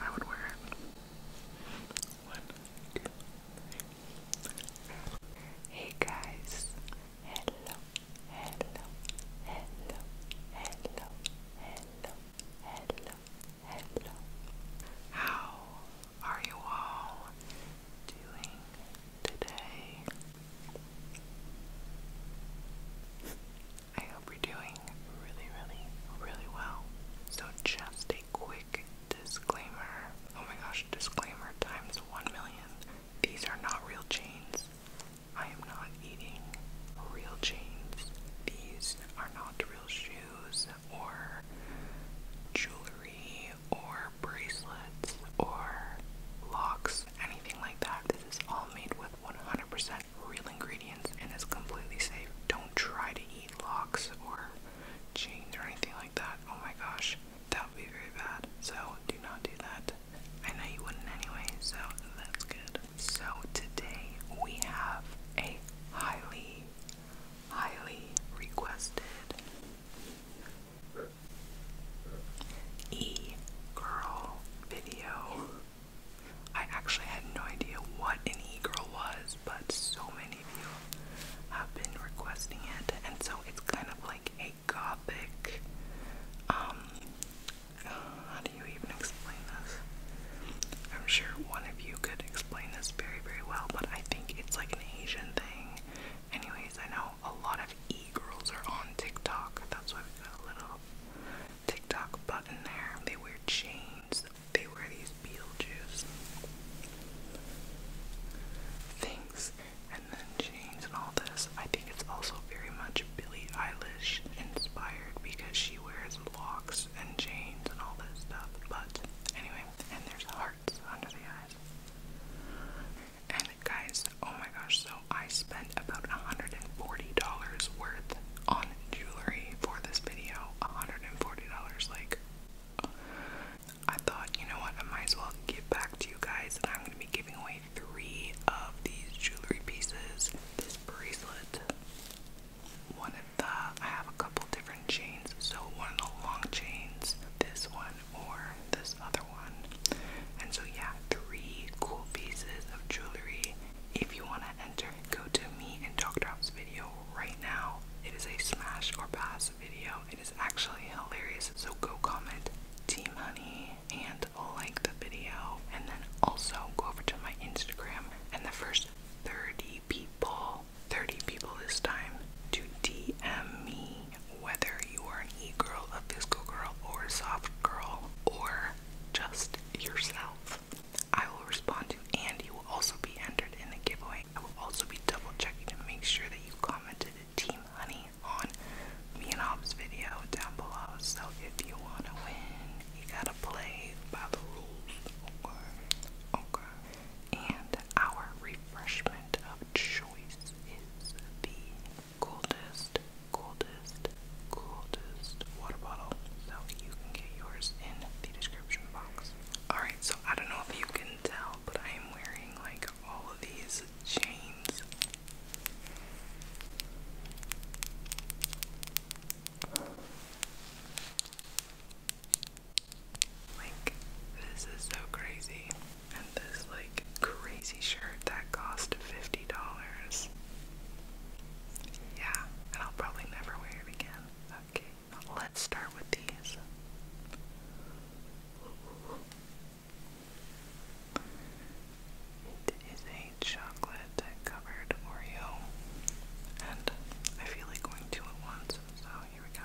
I would wear it. Hey guys. Hello. Hello. Hello. Hello. Hello. Hello. Hello. How are you all doing today? I hope you're doing really, really, really well. So, just a quick disclaimer oh my gosh, disclaimer times 1 million. These are not real chains. I am not eating real chains. These are not real shoes or jewelry or bracelets or locks, anything like that. This is all made with 100% real ingredients and is completely safe. Don't try to eat locks or chain or anything like that. Oh my gosh, that would be very bad. So do not do that. I know you wouldn't anyway, so that's good. So today we have a highly, highly requested E girl video I actually had no idea what an e-girl was, but so many of you have been requesting it, and so it's kind of like a gothic. Um, how do you even explain this? I'm sure one of you could explain this very, very well, but I think it's like an Asian thing. Anyways, I know a lot of e-girls are on TikTok. That's why we got a little TikTok button there. They wear chains. They wear these Beetlejuice things and then chains and all this. I think it's also very much Billie Eilish inspired because she wears locks and chains and all this stuff. But anyway, and there's hearts under the eyes. And guys, oh my gosh, so I spent about $140 worth on jewelry for this video. $140. Like, I thought, you know what, I might as well give back to you guys, and I'm gonna be giving away three of these jewelry pieces. This bracelet, one of the, I have a couple different chains, so one of the long chains, this one, or this other one. And so, yeah, three cool pieces of jewelry. If you want to enter, go to me and Doc Drop's video right now. It is a smash or pass video. It is actually hilarious, so go comment Team Honey and like the video. And then also go over to my Instagram and the first 30 people, 30 people this time, to DM me whether you are an e girl, a physical girl, or a soft girl, or just yourself. I will respond to and you will also be entered in the giveaway. I will also be double checking to make sure that you commented Team Honey on me and Hobbs video down below. So if you wanna win, you gotta play by the rules. Okay. And our refreshment of choice is the coldest coldest, coldest water bottle. So you can get yours in the description box. Alright, so I don't know if you can tell, but I am wearing like all of these chains. Like, this is so crazy. And this, like, crazy shirt that cost $50 yeah, and I'll probably never wear it again. Okay, let's start with these. It is a chocolate covered Oreo, and I feel like going two at once, so here we go.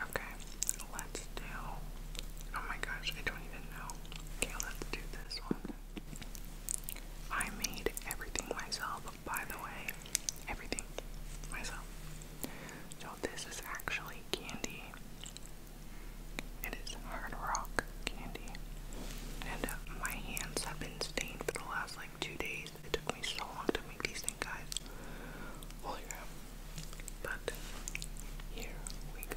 Okay, let's do. Oh my gosh, I don't even know. Okay, let's do this one. I made everything myself, by the way. Everything myself. So, this is actually candy. It is hard rock candy. And uh, my hands have been stained for the last like two days. It took me so long to make these think, guys, while you But here we go.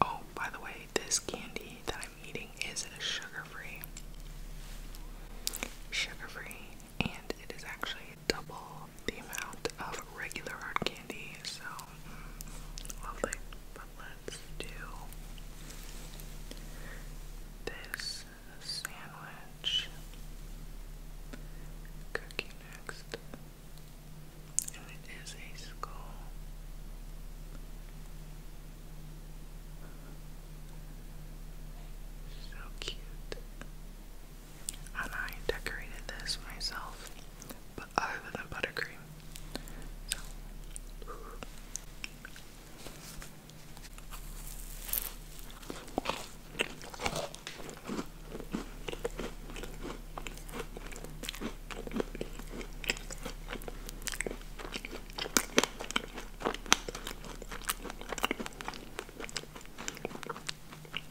Oh, by the way, this candy that I'm eating is sugar free. Sugar free, and it is actually double the amount of regular hard candy, so mm, lovely. But let's do this sandwich cookie next. And it is a skull. So cute and I decorated this myself, but other than buttercream.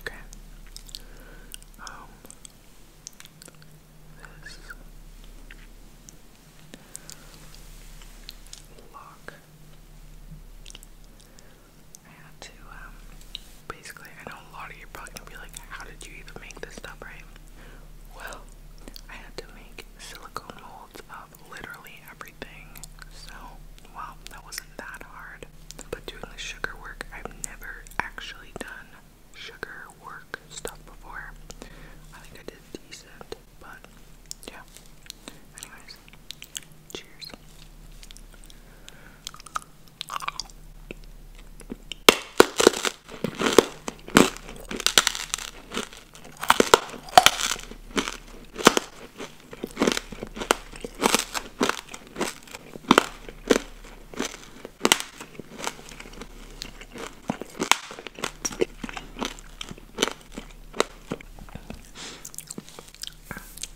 Okay. Um this lock I had to um basically I don't a lot of you are probably gonna be like, how did you even make this stuff, right? Well, I had to make silicone molds of literally everything. So, wow, that wasn't that hard. But doing the sugar work, I've never actually done sugar work stuff before. I think I did decent, but yeah. Anyways, cheers.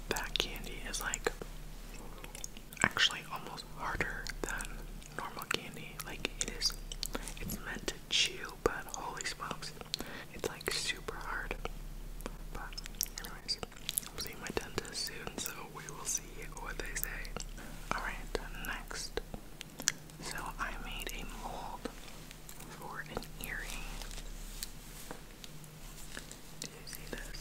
That candy is like actually almost harder than normal candy. Like it is, it's meant to chew, but holy smokes, it's like super hard. But anyways, i will see my dentist soon, so we will see what they say. Alright, next. So I made a mold for an earring. Do you see this?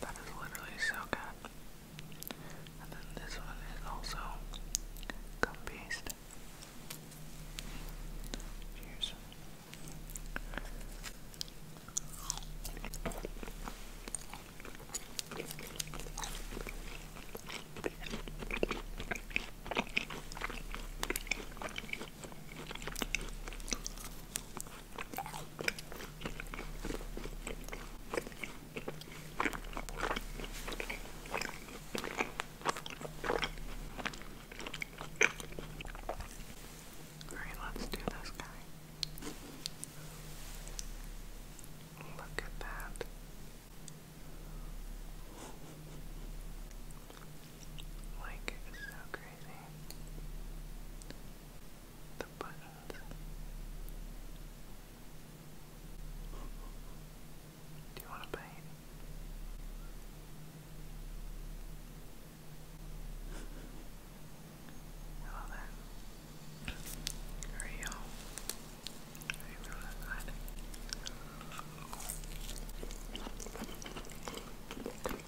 That is literally so good. And then this one is also gum paste. Cheers. Alright, let's do this guy. Look at that. Like, it's so crazy. The buttons. Do you want to bite? I love that. Are you? Are you really that?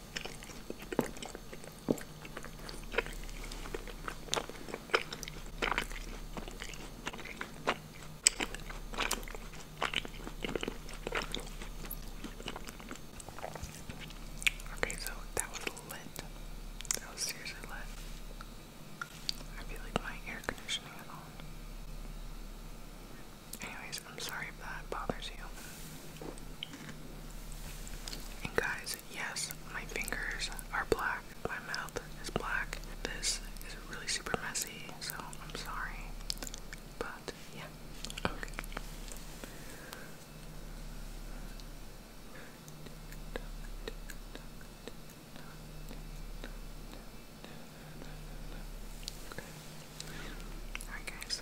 Okay, so that was lit. That was seriously lit. I feel like my air conditioning is on. Anyways, I'm sorry if that bothers you. And guys, yes, my fingers are black. My mouth is black. This is really super messy, so I'm sorry. But yeah. Okay. Alright guys.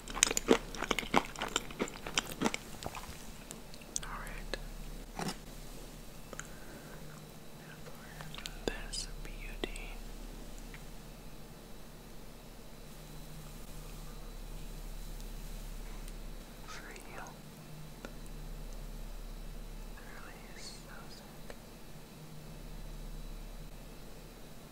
Alright. Now beauty. For you. Really is so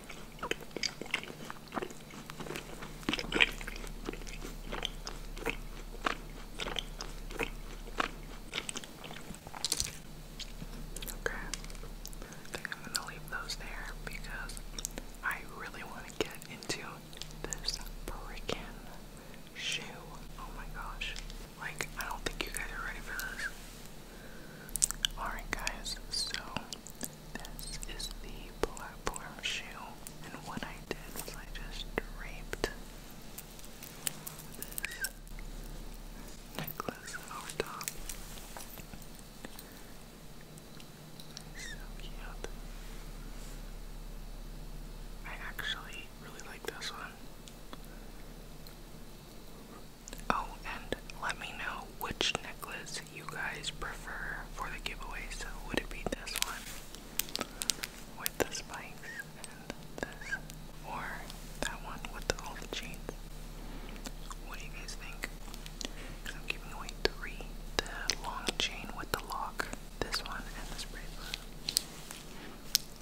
Okay, I am gonna leave those there because I really want to get into this freaking shoe. Oh my gosh. Like, I don't think you guys are ready for this. Alright, guys, so this is the platform shoe, and what I did was I just draped necklace over top. So cute. I actually really like this one. Oh, and let me know which necklace you guys prefer for the giveaways would it be this one with the spikes and this or that one with the, all the chains? What do you guys think? Because i three. The long chain with the lock, this one, and this bracelet.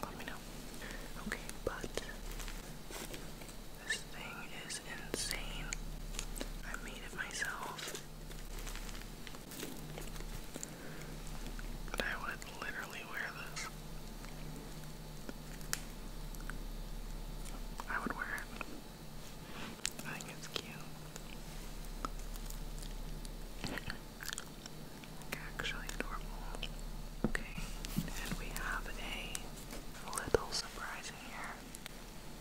Let me know. Okay, but this thing is insane. I made it myself but I would literally wear this. I would wear it. I think it's cute. like actually normal. Okay, and we have a little surprise in here.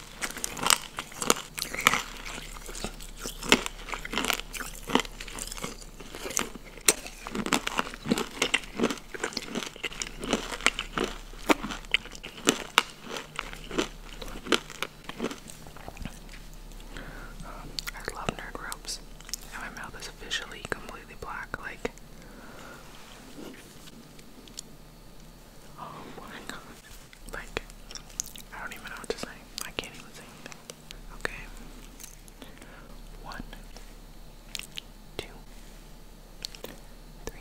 Um, I love nerd ropes. And my mouth is officially completely black. Like, Oh my god. Like, I don't even know what to I can't even say anything. Okay. One, two, three.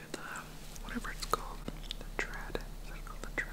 to the whatever it's called, the tread. Is it called the tread?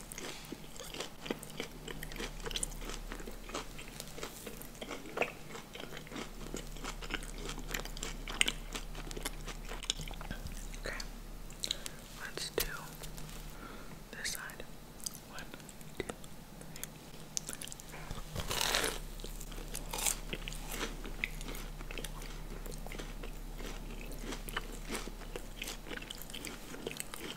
Okay, let's do this side. One, two, three.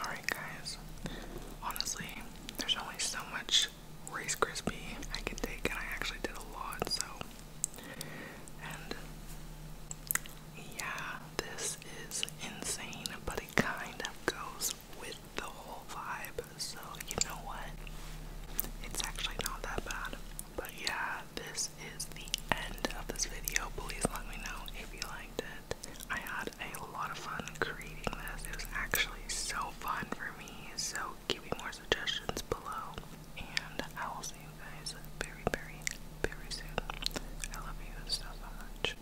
Alright, guys. Honestly, there's only so much Rice Krispie I can take, and I actually did a lot, so. And yeah, this is insane, but it kind of goes with the whole vibe, so you know what? It's actually not that bad. But yeah, this this is the end of this video. Please let me know if you liked it. I had a lot of fun creating this. It was actually so fun for me. So give me more suggestions below. And I will see you guys very, very, very soon. I love you so much.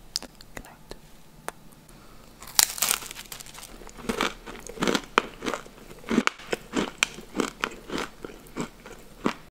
Good night.